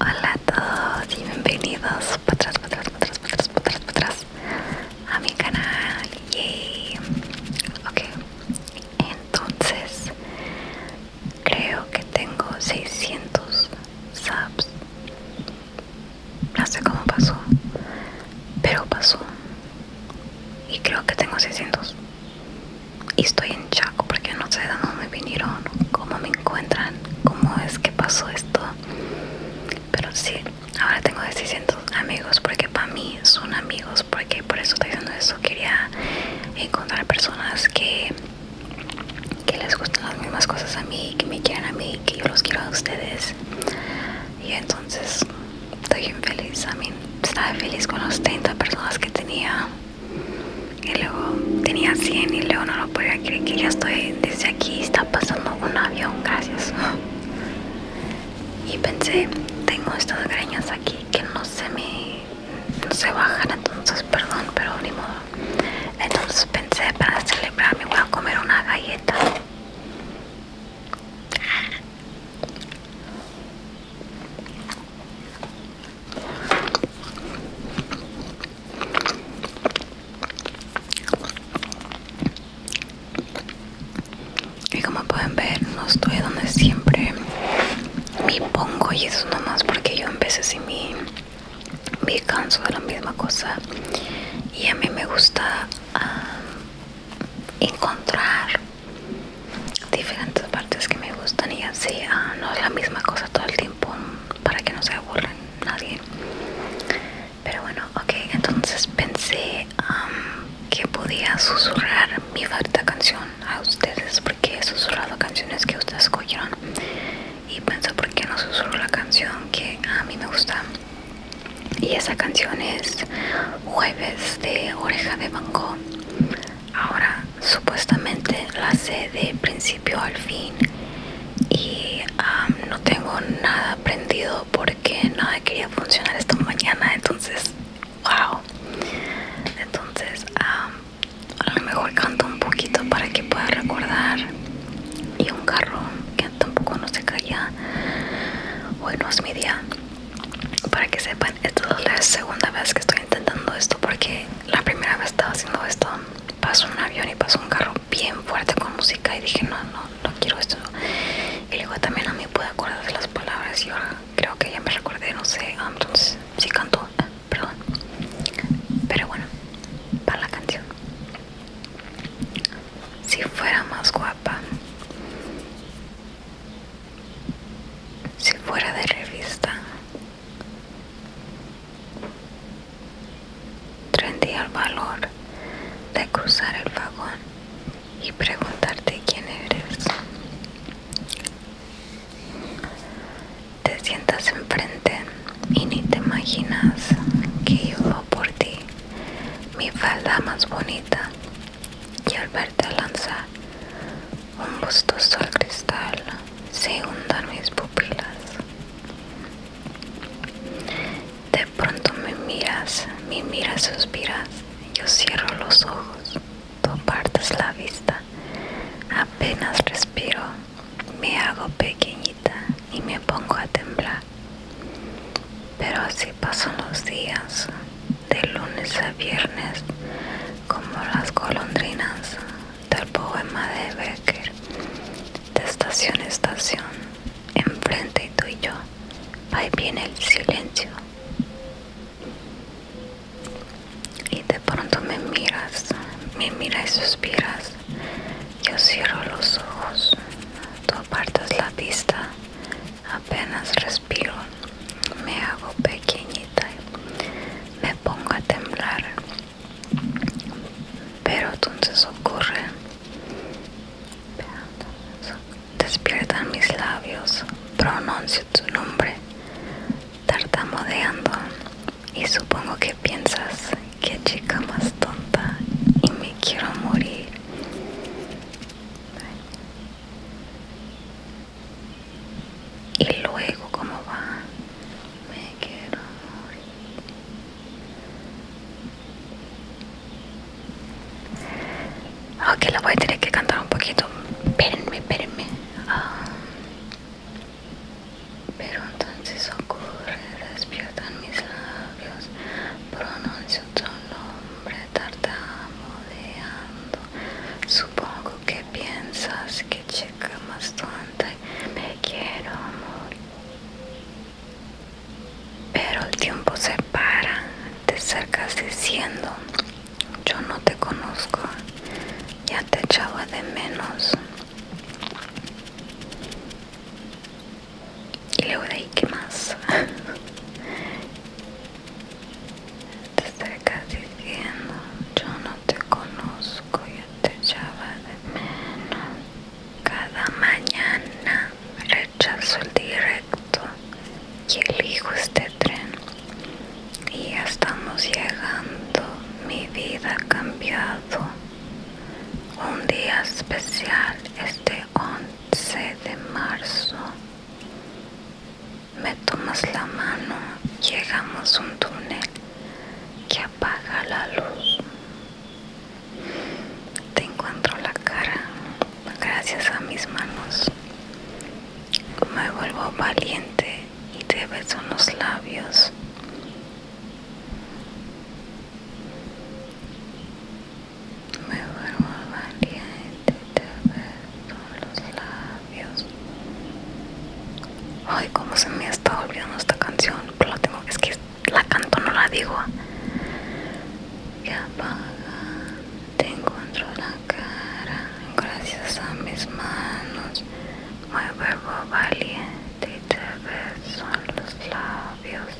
Hola a todos y bienvenidos para para atrás, atrás, para atrás, para atrás, para atrás a mi canal. Yay. Ok, entonces creo que tengo 600 subs no sé cómo pasó, pero pasó. Y creo que tengo 600. Y estoy en Chaco porque no sé de dónde vinieron, cómo me encuentran, cómo es que pasó esto. Pero sí, ahora tengo 600 amigos porque para mí son amigos, porque por eso estoy diciendo eso. Quería encontrar personas que que les gusten las mismas cosas a mí, que me quieran a mí, que yo los quiero a ustedes. Y entonces estoy feliz A estaba feliz con los 30 personas que tenía. Y luego tenía 100 y luego no lo podía creer que ya estoy desde aquí. Está pasando un avión, gracias. Y pensé, tengo estas greñas aquí que no se me no se bajan, entonces perdón, pero ni modo entonces pensé para celebrarme me voy a comer una galleta y como pueden ver no estoy donde siempre me pongo y eso nomás porque yo empecé sin mi me canso de la misma cosa y a mí me gusta ah, encontrar diferentes partes que me gustan y así ah, no es la misma cosa todo el tiempo para que no se aburra nadie pero bueno ok entonces pensé ah, que podía susurrar mi favorita canción a ustedes porque he susurrado canciones que ustedes escogieron y pienso por qué no susurro la canción que a mí me gusta y esa canción es Jueves de Oreja de banco ahora supuestamente la sé de principio al fin y no tengo nada aprendido porque nada quería funcionar esta mañana entonces wow entonces a lo mejor canto un poquito para que pueda recordar y un carro que tampoco no se caía hoy no es mi día para que sepan esta es la segunda vez que estoy intentando esto porque la primera vez estaba haciendo esto pasó un avión y pasó un carro bien fuerte con música y dije no no no quiero esto y luego también a mí puedo acordar de las palabras y ahora creo que ya me recordé, no sé, si ah, entonces eh, perdón. Pero bueno, para la canción. Si fuera más guapa, si fuera de revista, tendría el valor de cruzar el vagón y preguntarte quién eres. Te sientas enfrente y ni te imaginas que yo por ti mi falda más bonita y al verte lanzar un gustoso al cristal se hundan mis pupilas. De pronto me miras, me miras, suspiras yo cierro los ojos, tú apartas la vista. Apenas respiro, me hago pequeñita y me pongo a temblar. Pero así pasan los días, de lunes a viernes, como las golondrinas del poema de Becker, de estación a estación, enfrente tú y yo ahí viene el silencio y de pronto me miras me miras y suspiras yo cierro los ojos tú apartas la vista apenas respiro me hago pequeñita me pongo a temblar pero entonces ocurre despiertan mis labios, pronuncio tu nombre, tartamudeando, y supongo que piensas que chica más tonta y me quiero morir. Y luego, ¿cómo va? Me quiero morir. Ok, la voy a tener que cantar un poquito. Espérenme, espérenme. Ah. pero entonces ocurre, despiertan mis labios, pronuncio tu nombre tartamudeando. Supongo que piensas que chica más tonta me quiero amor pero el tiempo se para, te acercas diciendo, yo no te conozco, ya te echaba de menos. Y luego de ahí, ¿qué más? te acercas diciendo, yo no te conozco, ya te echaba de menos. Cada mañana rechazo el directo y elijo este tren. Y ya estamos llegando. Mi vida ha cambiado. Un día especial este 11 de marzo. Me tomas la mano, llegamos a un túnel que apaga la luz. Te encuentro la cara gracias a mis manos. Me vuelvo valiente y te beso los labios. Me vuelvo valiente te beso los labios. Ay, como se me está olvidando esta canción. Pero la tengo, es que la canto, no la digo. Ya paga, te encuentro la cara. Gracias a mis manos, muy verbo valiente y te beso los labios.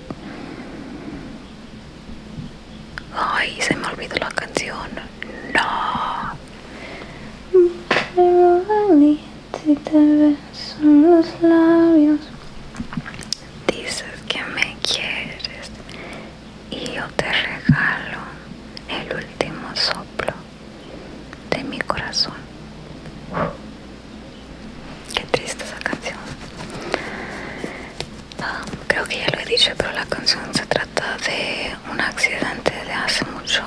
Ay, se me olvidó la canción. No. Si te beso los labios, dices que me quieres y yo te regalo el último soplo de mi corazón. qué triste esa canción. Ah, creo que ya lo he dicho, pero la canción se trata de un accidente de hace mucho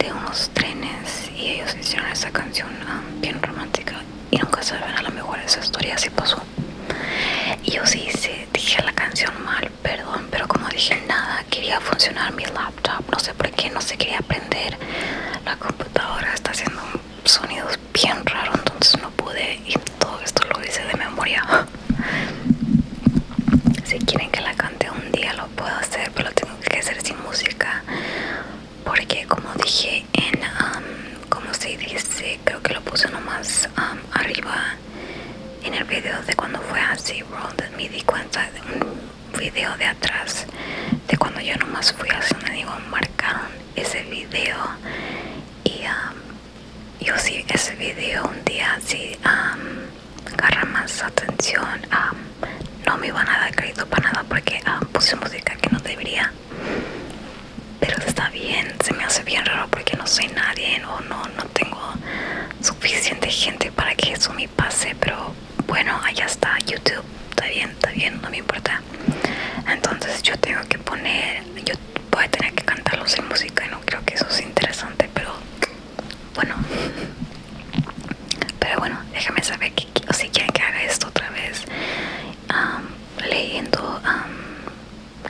de unos trenes y ellos hicieron esa canción ah, bien romántica y nunca saben a lo mejor esa historia si pasó y yo sí dije la canción mal perdón pero como dije nada quería funcionar mi laptop no sé por qué no se quería prender la computadora está haciendo sonidos bien raros entonces no pude y todo esto lo hice de memoria Si quieren que la cante un día lo puedo hacer, pero tengo que hacer sin música. Porque como dije en, um, como se dice, creo que lo puse nomás um, arriba en el video de cuando fue así, World, me di cuenta de un video de atrás de cuando yo nomás fui me digo, marcaron ese video y um, yo si ese vídeo un día si agarra más atención no me van a dar crédito para nada porque puse música que no debería pero está bien se me hace bien raro porque no soy nadie o no no tengo suficiente gente para que eso me pase pero bueno allá está youtube está bien está bien no me importa entonces yo tengo que poner voy a tener que cantarlos en música y no creo que eso sea interesante pero bueno pero bueno déjame saber si quieren que haga esto otra vez leyendo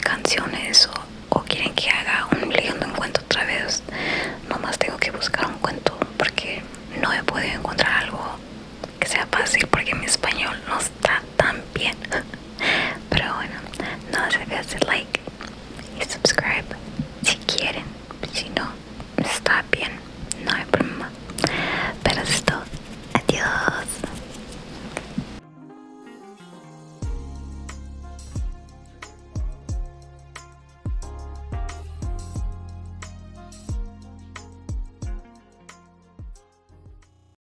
canciones o, quieren que haga un leyendo un cuento otra vez nomás tengo que buscar un cuento porque no he podido encontrar algo que sea fácil porque mi español no está tan bien. Pero bueno, no se de hacer like y subscribe si quieren. Si no, está bien, no hay problema. Pero esto, adiós.